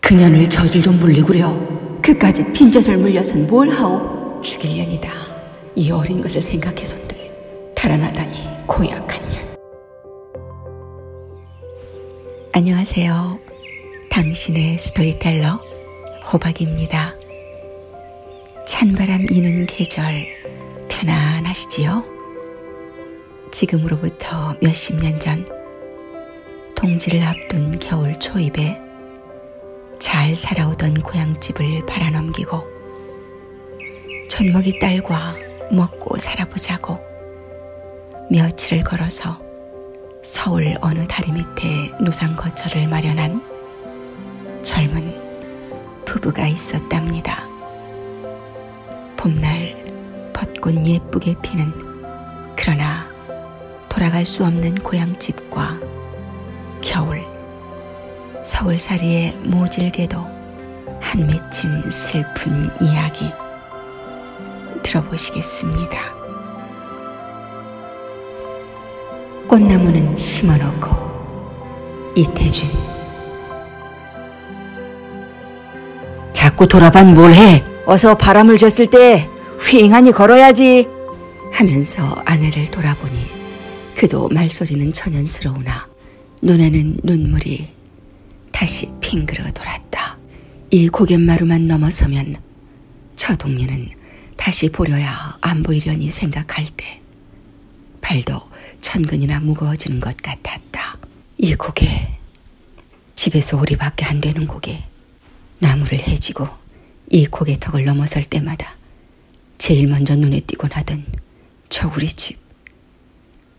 그년을 저질 좀 물리구려. 그까지 빈젖을 물려선 뭘 하오? 죽일 년이다. 이 어린 것을 생각해선들 달아나다니 고약한 년. 안녕하세요. 당신의 스토리텔러 호박입니다. 찬바람 이는 계절 편안하시지요? 지금으로부터 몇십 년 전 동지를 앞둔 겨울 초입에 잘 살아오던 고향집을 바라넘기고 촌목이 딸과 먹고 살아보자고 며칠을 걸어서 서울 어느 다리 밑에 노상 거처를 마련한 젊은 부부가 있었답니다. 봄날 벚꽃 예쁘게 피는 그러나 돌아갈 수 없는 고향집과 겨울 서울살이의 모질게도 한 맺힌 슬픈 이야기 들어보시겠습니다. 꽃나무는 심어놓고 이태준 자꾸 돌아반 뭘 해? 어서 바람을 쬐을 때 휑하니 걸어야지 하면서 아내를 돌아보니 그도 말소리는 천연스러우나 눈에는 눈물이 다시 핑그러 돌았다. 이 고갯마루만 넘어서면 처동리는 다시 보려야 안 보이려니 생각할 때 팔도 천근이나 무거워지는 것 같았다. 이 고개, 집에서 오리밖에 안 되는 고개, 나무를 해지고 이 고개턱을 넘어설 때마다 제일 먼저 눈에 띄곤 하던 저 우리 집,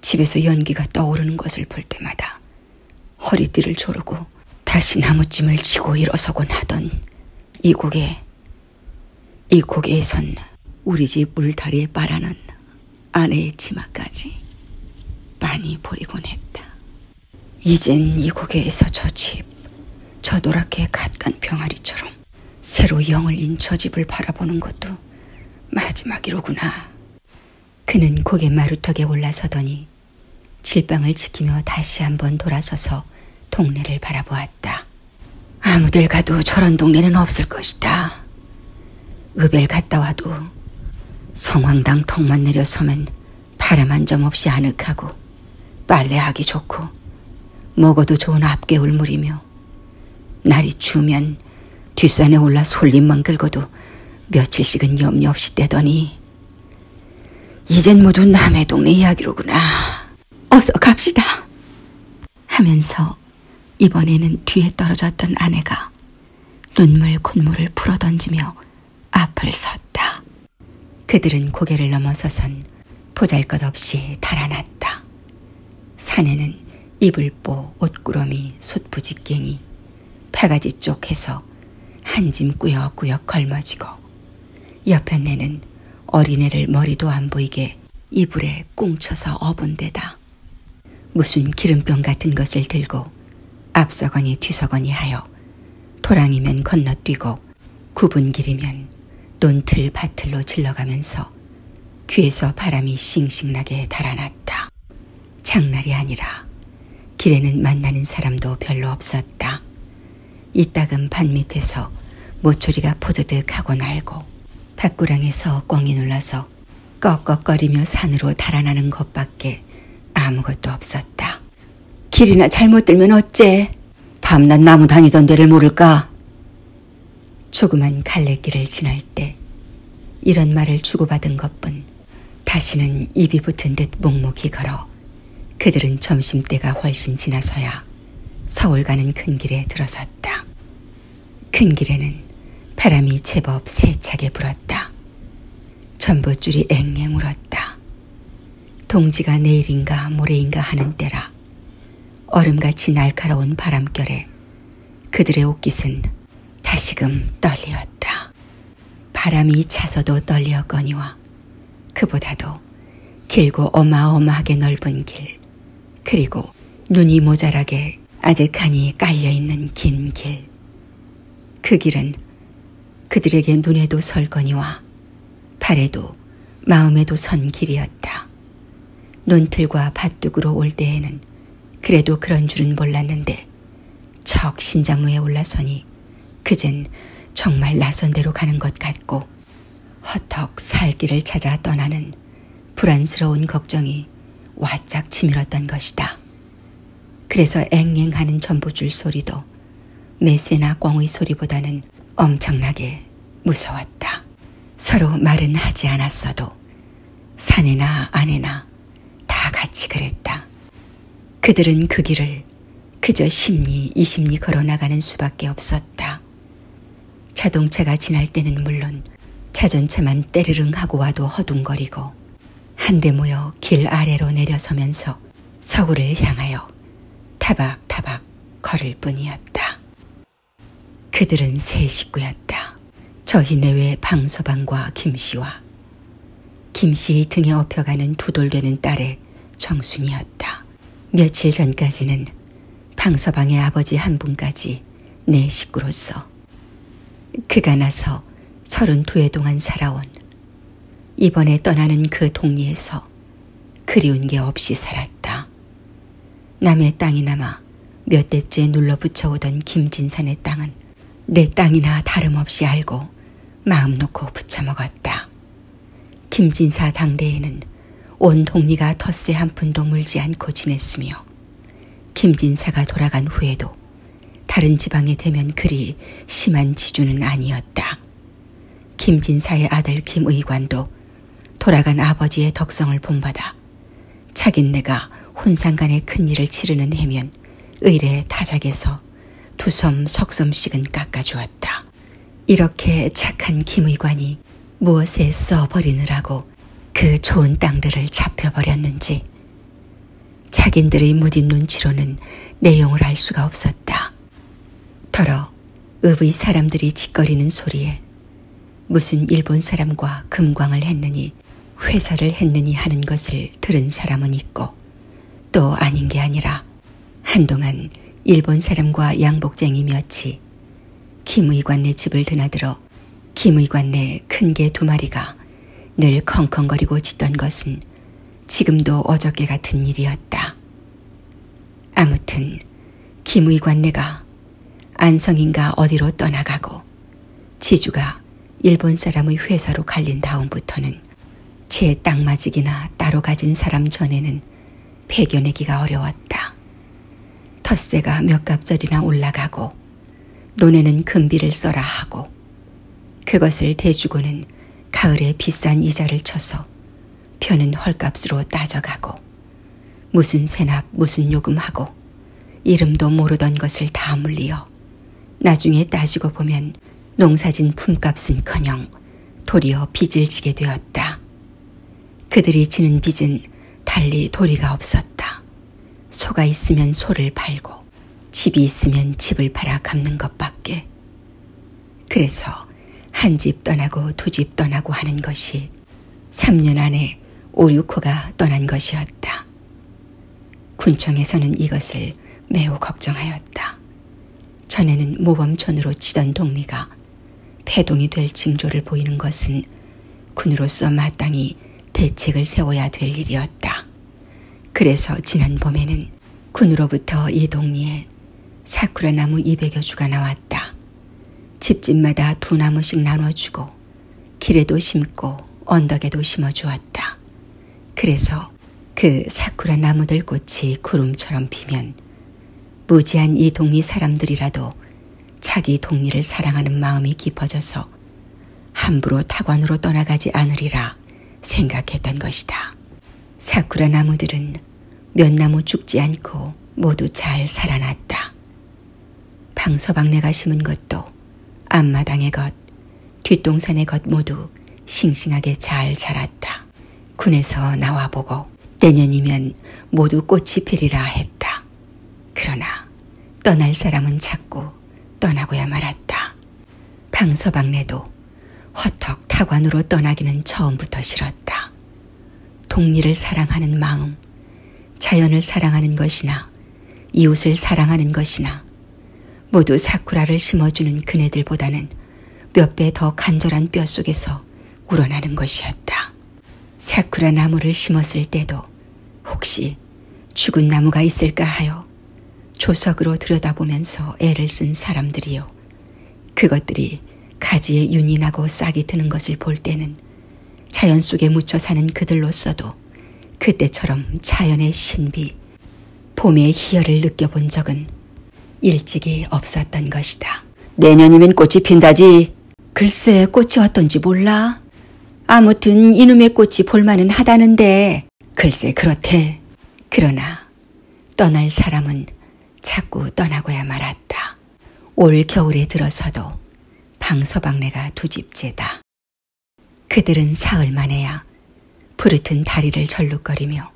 집에서 연기가 떠오르는 것을 볼 때마다 허리띠를 조르고 다시 나무찜을 치고 일어서곤 하던 이 고개, 이 고개에선 우리 집 물다리에 빨아난 아내의 치마까지 많이 보이곤 했다. 이젠 이 고개에서 저 집, 저 노랗게 갓간 병아리처럼 새로 영을 인 저 집을 바라보는 것도 마지막이로구나. 그는 고개 마루턱에 올라서더니 질방을 지키며 다시 한번 돌아서서 동네를 바라보았다. 아무들 가도 저런 동네는 없을 것이다. 읍엘 갔다 와도 성황당 턱만 내려서면 바람 한 점 없이 아늑하고 빨래하기 좋고 먹어도 좋은 앞개울물이며 날이 추우면 뒷산에 올라 솔잎만 긁어도 며칠씩은 염려 없이 떼더니 이젠 모두 남의 동네 이야기로구나. 어서 갑시다. 하면서 이번에는 뒤에 떨어졌던 아내가 눈물 콧물을 풀어던지며 앞을 섰다. 그들은 고개를 넘어서선 보잘것없이 달아났다. 산에는 이불보, 옷구러미, 솥부지깽이, 파가지 쪽에서 한 짐 꾸역꾸역 걸머지고 옆편내는 어린애를 머리도 안 보이게 이불에 꽁쳐서 업은 데다 무슨 기름병 같은 것을 들고 앞서거니 뒤서거니 하여 토랑이면 건너뛰고 굽은 길이면 논틀 밭틀로 질러가면서 귀에서 바람이 싱싱나게 달아났다. 장날이 아니라 길에는 만나는 사람도 별로 없었다. 이따금 반 밑에서 모초리가 포드득 하고 날고 밭구랑에서 꽁이 놀라서 꺽꺽거리며 산으로 달아나는 것밖에 아무것도 없었다. 길이나 잘못 들면 어째? 밤낮 나무 다니던 데를 모를까? 조그만 갈래길을 지날 때 이런 말을 주고받은 것뿐 다시는 입이 붙은 듯 목목이 걸어 그들은 점심때가 훨씬 지나서야 서울 가는 큰 길에 들어섰다. 큰 길에는 바람이 제법 세차게 불었다. 전봇줄이 앵앵 울었다. 동지가 내일인가 모레인가 하는 때라 얼음같이 날카로운 바람결에 그들의 옷깃은 다시금 떨리었다. 바람이 차서도 떨리었거니와 그보다도 길고 어마어마하게 넓은 길, 그리고 눈이 모자라게 아득하니 깔려있는 긴 길. 그 길은 그들에게 눈에도 설거니와 발에도 마음에도 선 길이었다. 논틀과 밭둑으로 올 때에는 그래도 그런 줄은 몰랐는데 척 신장로에 올라서니 그젠 정말 낯선 데로 가는 것 같고 허턱 살 길을 찾아 떠나는 불안스러운 걱정이 와짝 치밀었던 것이다. 그래서 앵앵하는 전보줄 소리도 메세나 꽝의 소리보다는 엄청나게 무서웠다. 서로 말은 하지 않았어도 사내나 아내나 다 같이 그랬다. 그들은 그 길을 그저 십리 이십리 걸어나가는 수밖에 없었다. 자동차가 지날 때는 물론 자전차만 때르릉 하고 와도 허둥거리고 한데 모여 길 아래로 내려서면서 서구를 향하여 타박타박 걸을 뿐이었다. 그들은 세 식구였다. 저희 내외 방서방과 김씨와 김씨 등에 업혀가는 두돌되는 딸의 정순이었다. 며칠 전까지는 방서방의 아버지 한 분까지 내 식구로서 그가 나서 서른두 해 동안 살아온 이번에 떠나는 그 동리에서 그리운 게 없이 살았다. 남의 땅이나마 몇 대째 눌러붙여 오던 김진산의 땅은 내 땅이나 다름없이 알고 마음 놓고 붙여먹었다. 김진사 당대에는 온 동리가 텃세 한 푼도 물지 않고 지냈으며 김진사가 돌아간 후에도 다른 지방에 되면 그리 심한 지주는 아니었다. 김진사의 아들 김의관도 돌아간 아버지의 덕성을 본받아 자긴네가 혼상간에 큰일을 치르는 해면 의례 타작에서 두 섬 석섬씩은 깎아주었다. 이렇게 착한 김의관이 무엇에 써버리느라고 그 좋은 땅들을 잡혀버렸는지 자긴들의 무딘 눈치로는 내용을 알 수가 없었다. 더러 읍의 사람들이 짓거리는 소리에 무슨 일본 사람과 금광을 했느니 회사를 했느니 하는 것을 들은 사람은 있고 또 아닌 게 아니라 한동안 일본 사람과 양복쟁이 몇이 김의관네 집을 드나들어 김의관네 큰개 두 마리가 늘 컹컹거리고 짖던 것은 지금도 어저께 같은 일이었다. 아무튼 김의관네가 안성인가 어디로 떠나가고 지주가 일본 사람의 회사로 갈린 다음부터는 제 땅맞이기나 따로 가진 사람 전에는 배겨내기가 어려웠다. 텃세가 몇 갑절이나 올라가고 논에는 금비를 써라 하고 그것을 대주고는 가을에 비싼 이자를 쳐서 펴는 헐값으로 따져가고 무슨 세납 무슨 요금하고 이름도 모르던 것을 다 물리어 나중에 따지고 보면 농사진 품값은커녕 도리어 빚을 지게 되었다. 그들이 지는 빚은 달리 도리가 없었다. 소가 있으면 소를 팔고 집이 있으면 집을 팔아 갚는 것밖에. 그래서 한 집 떠나고 두 집 떠나고 하는 것이 3년 안에 5, 6호가 떠난 것이었다. 군청에서는 이것을 매우 걱정하였다. 전에는 모범촌으로 치던 동리가 패동이 될 징조를 보이는 것은 군으로서 마땅히 대책을 세워야 될 일이었다. 그래서 지난 봄에는 군으로부터 이 동리에 사쿠라 나무 200여 주가 나왔다. 집집마다 두 나무씩 나눠주고 길에도 심고 언덕에도 심어주었다. 그래서 그 사쿠라 나무들 꽃이 구름처럼 피면 무지한 이 동리 사람들이라도 자기 동리를 사랑하는 마음이 깊어져서 함부로 타관으로 떠나가지 않으리라 생각했던 것이다. 사쿠라 나무들은 몇 나무 죽지 않고 모두 잘 살아났다. 방서방내가 심은 것도 앞마당의 것, 뒷동산의 것 모두 싱싱하게 잘 자랐다. 군에서 나와보고 내년이면 모두 꽃이 피리라 했다. 그러나 떠날 사람은 찾고 떠나고야 말았다. 방서방내도 허턱 타관으로 떠나기는 처음부터 싫었다. 동리를 사랑하는 마음, 자연을 사랑하는 것이나 이웃을 사랑하는 것이나 모두 사쿠라를 심어주는 그네들보다는 몇 배 더 간절한 뼛속에서 우러나는 것이었다. 사쿠라 나무를 심었을 때도 혹시 죽은 나무가 있을까 하여 조석으로 들여다보면서 애를 쓴 사람들이요. 그것들이 가지에 윤이 나고 싹이 트는 것을 볼 때는 자연 속에 묻혀 사는 그들로서도 그때처럼 자연의 신비, 봄의 희열을 느껴본 적은 일찍이 없었던 것이다. 내년이면 꽃이 핀다지. 글쎄 꽃이 왔던지 몰라. 아무튼 이놈의 꽃이 볼만은 하다는데 글쎄 그렇대. 그러나 떠날 사람은 자꾸 떠나고야 말았다. 올 겨울에 들어서도 방서방네가 두 집째다. 그들은 사흘 만에야 푸르튼 다리를 절룩거리며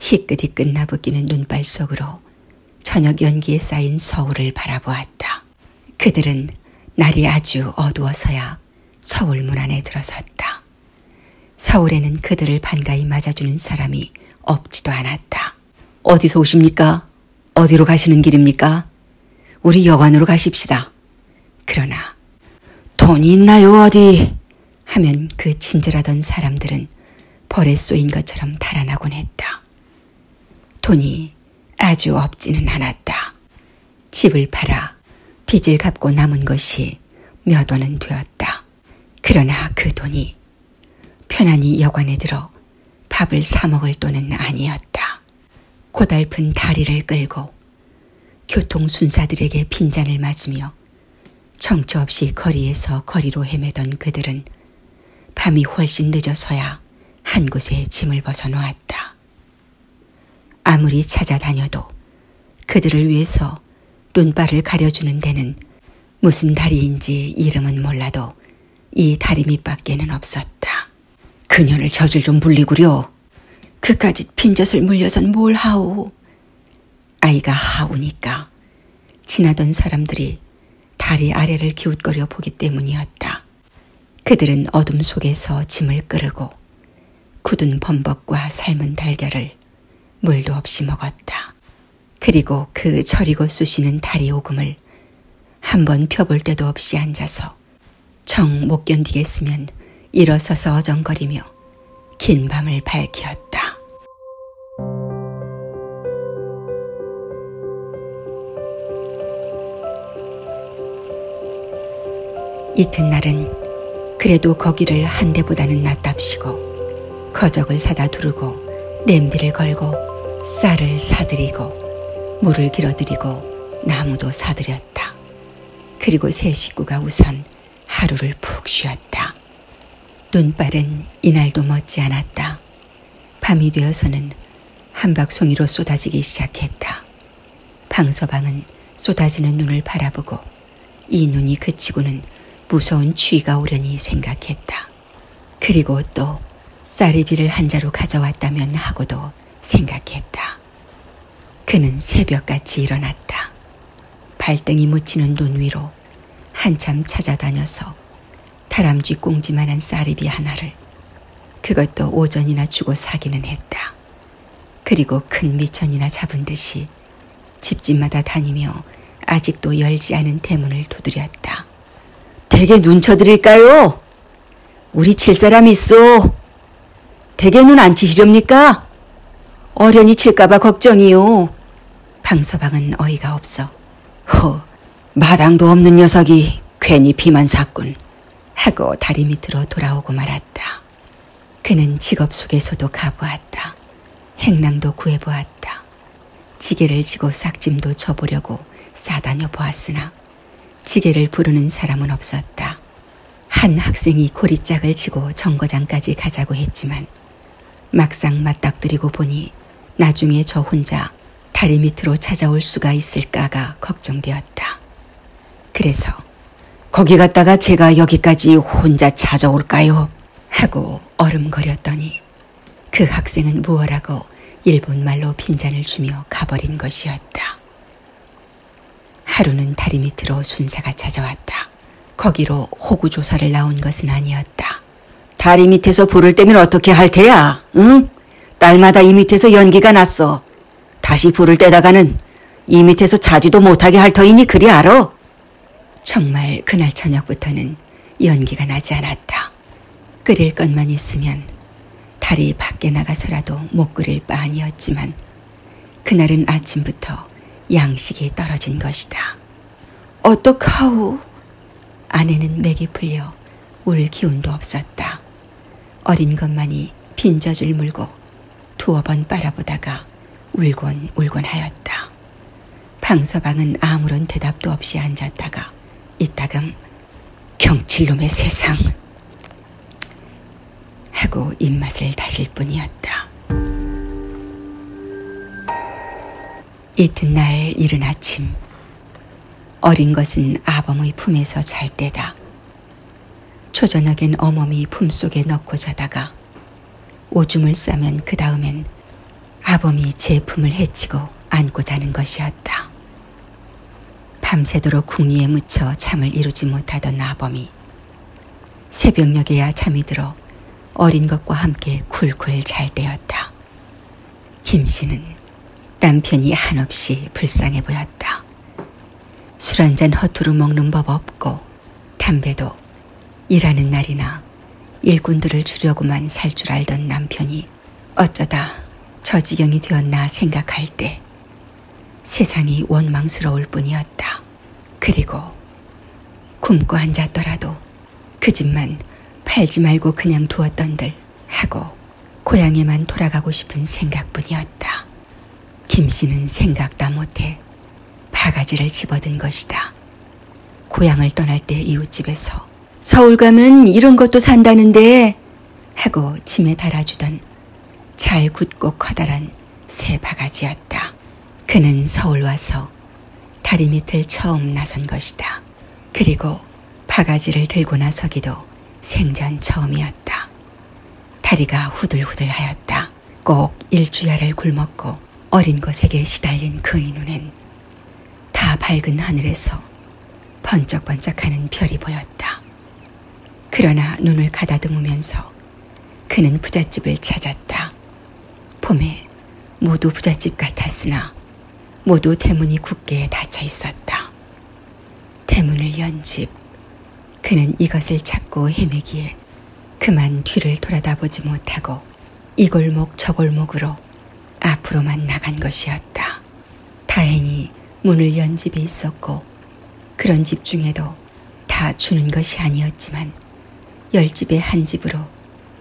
희끗희끗 나부끼는 눈발 속으로 저녁 연기에 쌓인 서울을 바라보았다. 그들은 날이 아주 어두워서야 서울 문 안에 들어섰다. 서울에는 그들을 반가이 맞아주는 사람이 없지도 않았다. 어디서 오십니까? 어디로 가시는 길입니까? 우리 여관으로 가십시다. 그러나 돈이 있나요 어디? 하면 그 친절하던 사람들은 벌에 쏘인 것처럼 달아나곤 했다. 돈이 아주 없지는 않았다. 집을 팔아 빚을 갚고 남은 것이 몇 원은 되었다. 그러나 그 돈이 편안히 여관에 들어 밥을 사 먹을 돈은 아니었다. 고달픈 다리를 끌고 교통순사들에게 빈잔을 맞으며 정처 없이 거리에서 거리로 헤매던 그들은 밤이 훨씬 늦어서야 한 곳에 짐을 벗어놓았다. 아무리 찾아다녀도 그들을 위해서 눈발을 가려주는 데는 무슨 다리인지 이름은 몰라도 이 다리 밑밖에는 없었다. 그녀를 저질 좀 물리구려. 그까지 핀젖을 물려선 뭘 하오. 아이가 하우니까 지나던 사람들이 다리 아래를 기웃거려 보기 때문이었다. 그들은 어둠 속에서 짐을 끌고 굳은 범벅과 삶은 달걀을 물도 없이 먹었다. 그리고 그 저리고 쑤시는 다리 오금을 한 번 펴볼 때도 없이 앉아서 정 못 견디겠으면 일어서서 어정거리며 긴 밤을 밝히었다. 이튿날은 그래도 거기를 한 대보다는 낫답시고 거적을 사다 두르고 냄비를 걸고 쌀을 사들이고 물을 길어들이고 나무도 사들였다. 그리고 세 식구가 우선 하루를 푹 쉬었다. 눈발은 이날도 멋지 않았다. 밤이 되어서는 한박송이로 쏟아지기 시작했다. 방서방은 쏟아지는 눈을 바라보고 이 눈이 그치고는 무서운 추위가 오려니 생각했다. 그리고 또 쌀이비를 한 자루 가져왔다면 하고도 생각했다. 그는 새벽같이 일어났다. 발등이 묻히는 눈 위로 한참 찾아다녀서 다람쥐 꽁지만한 쌀이비 하나를 그것도 오전이나 주고 사기는 했다. 그리고 큰 미천이나 잡은 듯이 집집마다 다니며 아직도 열지 않은 대문을 두드렸다. 대게 눈 쳐드릴까요? 우리 칠 사람 있소. 대게 눈 안 치시렵니까? 어련히 칠까봐 걱정이요. 방서방은 어이가 없어. 허, 마당도 없는 녀석이 괜히 비만 샀군 하고 다리 밑으로 돌아오고 말았다. 그는 직업 속에서도 가보았다. 행랑도 구해보았다. 지게를 지고 싹짐도 쳐보려고 싸다녀 보았으나 지게를 부르는 사람은 없었다. 한 학생이 고리짝을 치고 정거장까지 가자고 했지만 막상 맞닥뜨리고 보니 나중에 저 혼자 문제가 다리 밑으로 찾아올 수가 있을까가 걱정되었다. 그래서 거기 갔다가 제가 여기까지 혼자 찾아올까요? 하고 얼음거렸더니 그 학생은 무어라고 일본말로 빈잔을 주며 가버린 것이었다. 하루는 다리 밑으로 순사가 찾아왔다. 거기로 호구조사를 나온 것은 아니었다. 다리 밑에서 불을 떼면 어떻게 할 테야? 응? 딸마다 이 밑에서 연기가 났어. 다시 불을 떼다가는 이 밑에서 자지도 못하게 할 터이니 그리 알아? 정말 그날 저녁부터는 연기가 나지 않았다. 끓일 것만 있으면 다리 밖에 나가서라도 못 끓일 바 아니었지만 그날은 아침부터 양식이 떨어진 것이다. 어떡하오? 아내는 맥이 풀려 울 기운도 없었다. 어린 것만이 빈젖을 물고 두어 번 빨아보다가 울곤 울곤 하였다. 방서방은 아무런 대답도 없이 앉았다가 이따금 경칠놈의 세상 하고 입맛을 다실 뿐이었다. 이튿날 이른 아침 어린 것은 아범의 품에서 잘 때다. 초저녁엔 어머니 품속에 넣고 자다가 오줌을 싸면 그 다음엔 아범이 제 품을 헤치고 안고 자는 것이었다. 밤새도록 궁리에 묻혀 잠을 이루지 못하던 아범이 새벽녘에야 잠이 들어 어린 것과 함께 쿨쿨 잘 때였다. 김 씨는 남편이 한없이 불쌍해 보였다. 술 한잔 허투루 먹는 법 없고 담배도 일하는 날이나 일꾼들을 주려고만 살 줄 알던 남편이 어쩌다 저 지경이 되었나 생각할 때 세상이 원망스러울 뿐이었다. 그리고 굶고 앉았더라도 그 집만 팔지 말고 그냥 두었던들 하고 고향에만 돌아가고 싶은 생각뿐이었다. 김씨는 생각다 못해 바가지를 집어든 것이다. 고향을 떠날 때 이웃집에서 서울 가면 이런 것도 산다는데 하고 짐에 달아주던 잘 굳고 커다란 새 바가지였다. 그는 서울 와서 다리 밑을 처음 나선 것이다. 그리고 바가지를 들고 나서기도 생전 처음이었다. 다리가 후들후들하였다. 꼭 일주야를 굴먹고 어린 것에게 시달린 그의 눈엔 다 밝은 하늘에서 번쩍번쩍하는 별이 보였다. 그러나 눈을 가다듬으면서 그는 부잣집을 찾았다. 봄에 모두 부잣집 같았으나 모두 대문이 굳게 닫혀 있었다. 대문을 연 집. 그는 이것을 찾고 헤매기에 그만 뒤를 돌아다보지 못하고 이 골목 저 골목으로 앞으로만 나간 것이었다. 다행히 문을 연 집이 있었고 그런 집 중에도 다 주는 것이 아니었지만 열 집에 한 집으로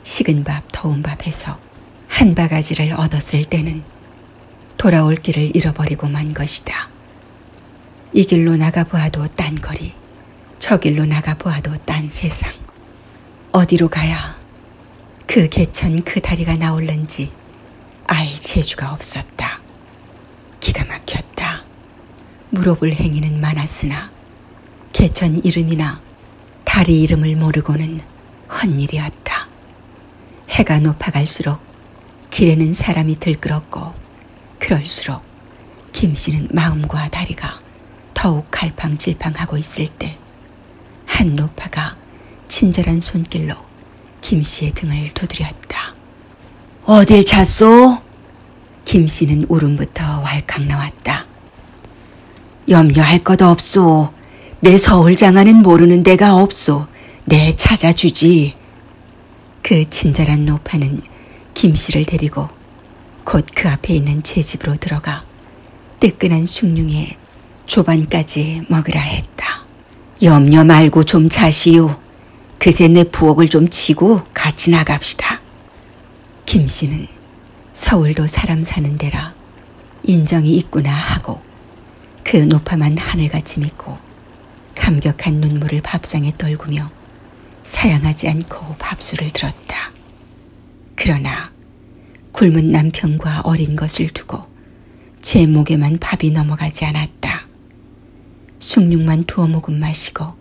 식은 밥 더운 밥에서 한 바가지를 얻었을 때는 돌아올 길을 잃어버리고 만 것이다. 이 길로 나가보아도 딴 거리, 저 길로 나가보아도 딴 세상. 어디로 가야 그 개천 그 다리가 나올는지 알 재주가 없었다. 기가 막혔다. 물어볼 행위는 많았으나 개천 이름이나 달이 이름을 모르고는 헛일이었다. 해가 높아갈수록 길에는 사람이 들끓었고 그럴수록 김씨는 마음과 다리가 더욱 갈팡질팡하고 있을 때 한노파가 친절한 손길로 김씨의 등을 두드렸다. 어딜 잤소? 김씨는 울음부터 왈칵 나왔다. 염려할 것 없소. 내 서울장안은 모르는 데가 없소. 내 찾아주지. 그 친절한 노파는 김 씨를 데리고 곧 그 앞에 있는 제 집으로 들어가 뜨끈한 숭늉에 조반까지 먹으라 했다. 염려 말고 좀 자시오. 그새 내 부엌을 좀 치고 같이 나갑시다. 김 씨는 서울도 사람 사는 데라 인정이 있구나 하고 그 높아만 하늘같이 믿고 감격한 눈물을 밥상에 떨구며 사양하지 않고 밥수를 들었다. 그러나 굶은 남편과 어린 것을 두고 제 목에만 밥이 넘어가지 않았다. 숭늉만 두어 모금 마시고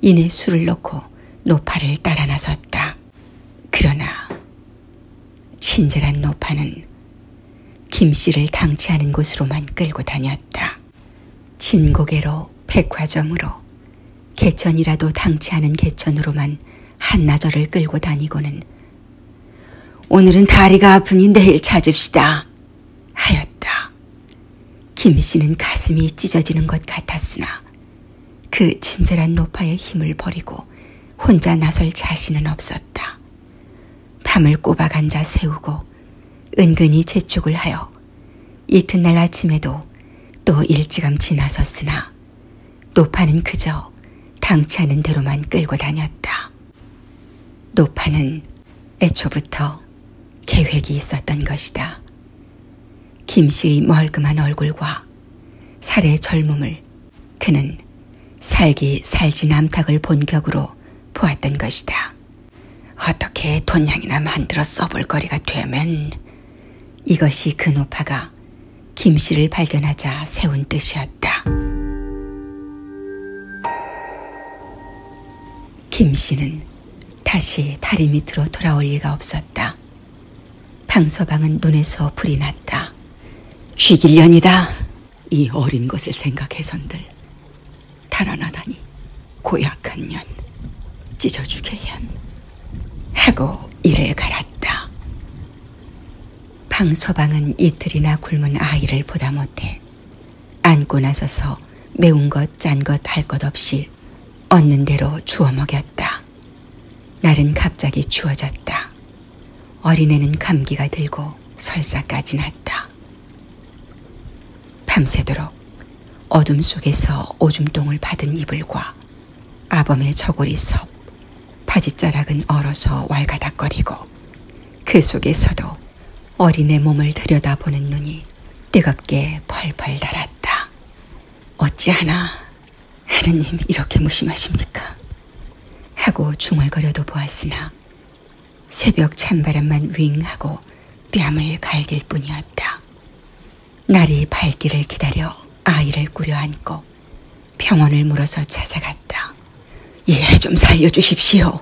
이내 술을 넣고 노파를 따라 나섰다. 그러나 친절한 노파는 김씨를 당치하는 곳으로만 끌고 다녔다. 진고개로 백화점으로 개천이라도 당치하는 개천으로만 한나절을 끌고 다니고는 오늘은 다리가 아프니 내일 찾읍시다 하였다. 김씨는 가슴이 찢어지는 것 같았으나 그 친절한 노파의 힘을 버리고 혼자 나설 자신은 없었다. 밤을 꼬박 앉아 세우고 은근히 재촉을 하여 이튿날 아침에도 또 일찌감치 나섰으나 노파는 그저 당차는 대로만 끌고 다녔다. 노파는 애초부터 계획이 있었던 것이다. 김씨의 멀그만 얼굴과 살의 젊음을 그는 살기 살진 암탉을 본격으로 보았던 것이다. 어떻게 돈양이나 만들어 써볼 거리가 되면 이것이 그 노파가 김씨를 발견하자 세운 뜻이었다. 김씨는 다시 다리 밑으로 돌아올 리가 없었다. 방소방은 눈에서 불이 났다. 쥐길년이다. 이 어린 것을 생각해선들 달아나다니 고약한 년 찢어주게 현 하고 이래 갈았다. 방서방은 이틀이나 굶은 아이를 보다 못해 안고 나서서 매운 것 짠 것 할 것 없이 얻는 대로 주워 먹였다. 날은 갑자기 추워졌다. 어린애는 감기가 들고 설사까지 났다. 밤새도록 어둠 속에서 오줌똥을 받은 이불과 아범의 저고리 섭, 바지자락은 얼어서 왈가닥거리고 그 속에서도 어린애 몸을 들여다보는 눈이 뜨겁게 펄펄 달았다. 어찌하나 하느님 이렇게 무심하십니까? 하고 중얼거려도 보았으나 새벽 찬바람만 윙하고 뺨을 갈길 뿐이었다. 날이 밝기를 기다려 아이를 꾸려안고 병원을 물어서 찾아갔다. 예, 좀 살려주십시오.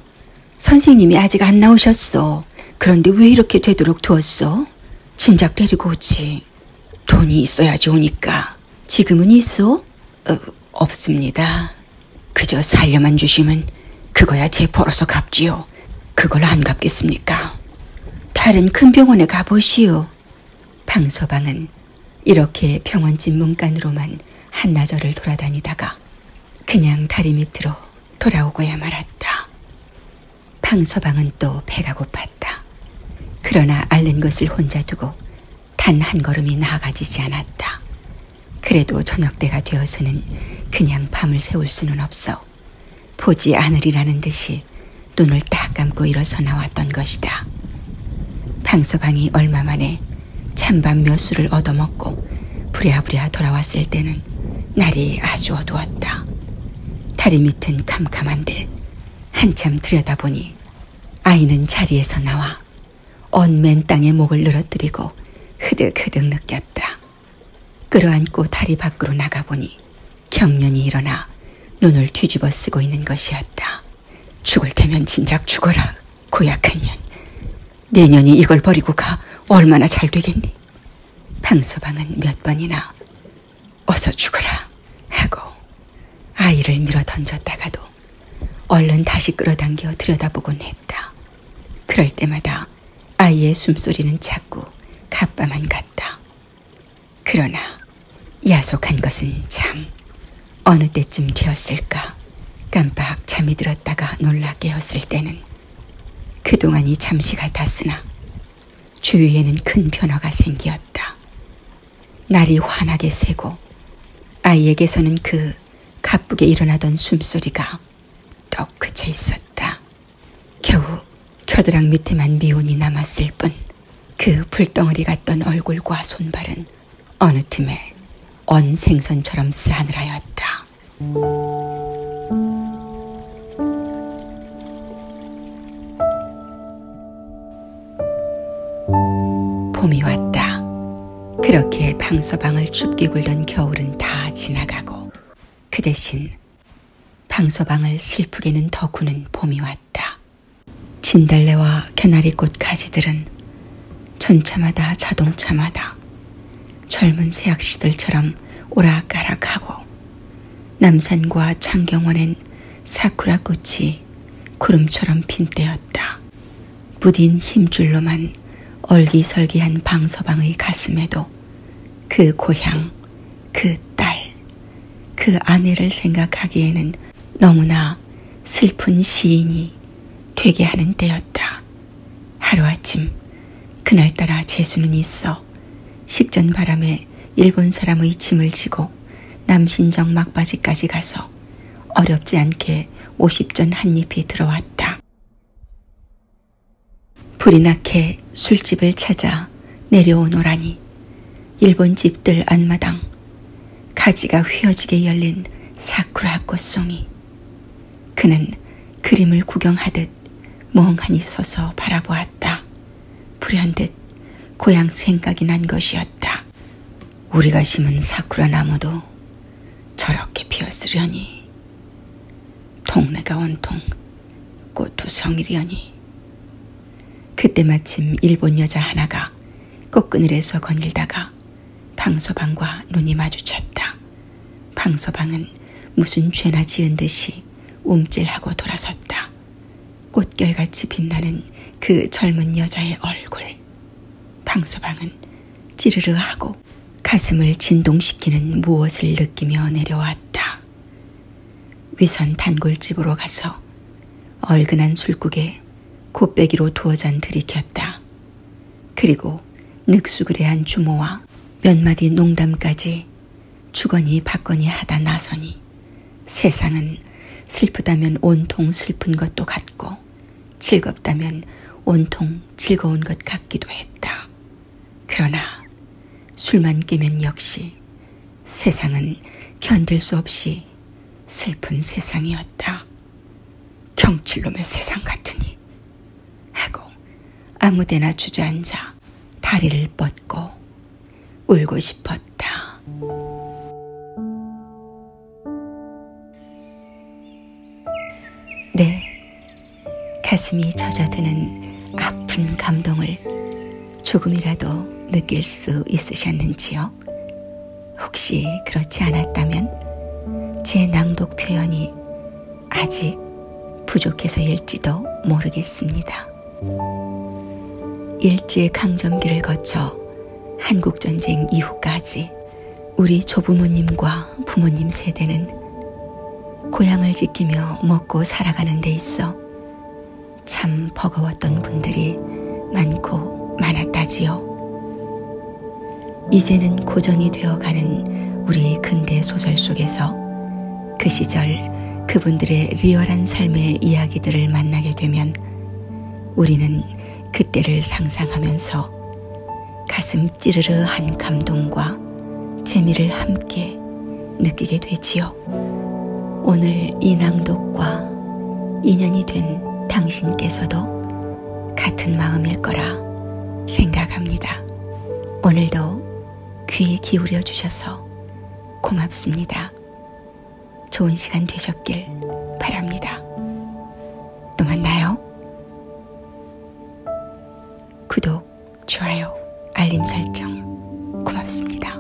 선생님이 아직 안 나오셨어. 그런데 왜 이렇게 되도록 두었어? 진작 데리고 오지. 돈이 있어야지 오니까. 지금은 있어? 어, 없습니다. 그저 살려만 주시면 그거야 제 벌어서 갚지요. 그걸 안 갚겠습니까? 다른 큰 병원에 가보시오. 방서방은 이렇게 병원집 문간으로만 한나절을 돌아다니다가 그냥 다리 밑으로 돌아오고야 말았다. 방서방은 또 배가 고팠다. 그러나 앓는 것을 혼자 두고 단한 걸음이 나아가지지 않았다. 그래도 저녁때가 되어서는 그냥 밤을 새울 수는 없어 보지 않으리라는 듯이 눈을 딱 감고 일어서 나왔던 것이다. 방서방이 얼마 만에 찬밤 몇 수를 얻어먹고 부랴부랴 돌아왔을 때는 날이 아주 어두웠다. 다리 밑은 캄캄한데 한참 들여다보니 아이는 자리에서 나와 언맨 땅에 목을 늘어뜨리고 흐득흐득 느꼈다. 끌어안고 다리 밖으로 나가보니 경련이 일어나 눈을 뒤집어 쓰고 있는 것이었다. 죽을 테면 진작 죽어라. 고약한 년. 내년이 이걸 버리고 가 얼마나 잘 되겠니? 방소방은 몇 번이나 어서 죽어라 하고 아이를 밀어 던졌다가도 얼른 다시 끌어당겨 들여다보곤 했다. 그럴 때마다 아이의 숨소리는 자꾸 가빠만 같다. 그러나 야속한 것은 참 어느 때쯤 되었을까 깜빡 잠이 들었다가 놀라 깨었을 때는 그동안이 잠시 같았으나 주위에는 큰 변화가 생기었다. 날이 환하게 새고 아이에게서는 그 가쁘게 일어나던 숨소리가 떡 그쳐 있었다. 겨우 겨드랑 밑에만 미운이 남았을 뿐 그 불덩어리 같던 얼굴과 손발은 어느 틈에 언 생선처럼 싸늘하였다. 봄이 왔다. 그렇게 방서방을 춥게 굴던 겨울은 다 지나가고 그 대신 방서방을 슬프게는 더 구는 봄이 왔다. 진달래와 개나리꽃 가지들은 전차마다 자동차마다 젊은 새학시들처럼 오락가락하고 남산과 창경원엔 사쿠라 꽃이 구름처럼 핀 때였다. 부딘 힘줄로만 얼기설기한 방서방의 가슴에도 그 고향, 그 딸, 그 아내를 생각하기에는 너무나 슬픈 시인이 되게 하는 때였다. 하루아침 그날따라 재수는 있어 식전 바람에 일본 사람의 짐을 지고 남신정 막바지까지 가서 어렵지 않게 50전 한 입이 들어왔다. 불이 나게 술집을 찾아 내려오노라니 일본 집들 안마당 가지가 휘어지게 열린 사쿠라 꽃송이 그는 그림을 구경하듯 멍하니 서서 바라보았다. 불현듯 고향 생각이 난 것이었다. 우리가 심은 사쿠라 나무도 저렇게 피었으려니 동네가 온통 꽃두성이려니 그때 마침 일본 여자 하나가 꽃그늘에서 거닐다가 방서방과 눈이 마주쳤다. 방서방은 무슨 죄나 지은 듯이 움찔하고 돌아섰다. 꽃결같이 빛나는 그 젊은 여자의 얼굴. 때 방수방은 찌르르 하고 가슴을 진동시키는 무엇을 느끼며 내려왔다. 위선 단골집으로 가서 얼근한 술국에 곱빼기로 두어 잔 들이켰다. 그리고 늑수그레한 주모와 몇 마디 농담까지 주거니 받거니 하다 나서니 세상은 슬프다면 온통 슬픈 것도 같고 즐거웠고 즐겁다면 온통 즐거운 것 같기도 했다. 그러나 술만 깨면 역시 세상은 견딜 수 없이 슬픈 세상이었다. 경칠놈의 세상 같으니 하고 아무데나 주저앉아 다리를 뻗고 울고 싶었다. 네, 가슴이 젖어드는 아픈 감동을 조금이라도 느낄 수 있으셨는지요? 혹시 그렇지 않았다면 제 낭독 표현이 아직 부족해서일지도 모르겠습니다. 일제 강점기를 거쳐 한국전쟁 이후까지 우리 조부모님과 부모님 세대는 고향을 지키며 먹고 살아가는 데 있어 참 버거웠던 분들이 많고 많았다지요. 이제는 고전이 되어가는 우리 근대 소설 속에서 그 시절 그분들의 리얼한 삶의 이야기들을 만나게 되면 우리는 그때를 상상하면서 가슴 찌르르한 감동과 재미를 함께 느끼게 되지요. 오늘 이 낭독과 인연이 된 당신께서도 같은 마음일 거라 생각합니다. 오늘도 귀 기울여 주셔서 고맙습니다. 좋은 시간 되셨길 바랍니다. 또 만나요. 구독, 좋아요, 알림 설정 고맙습니다.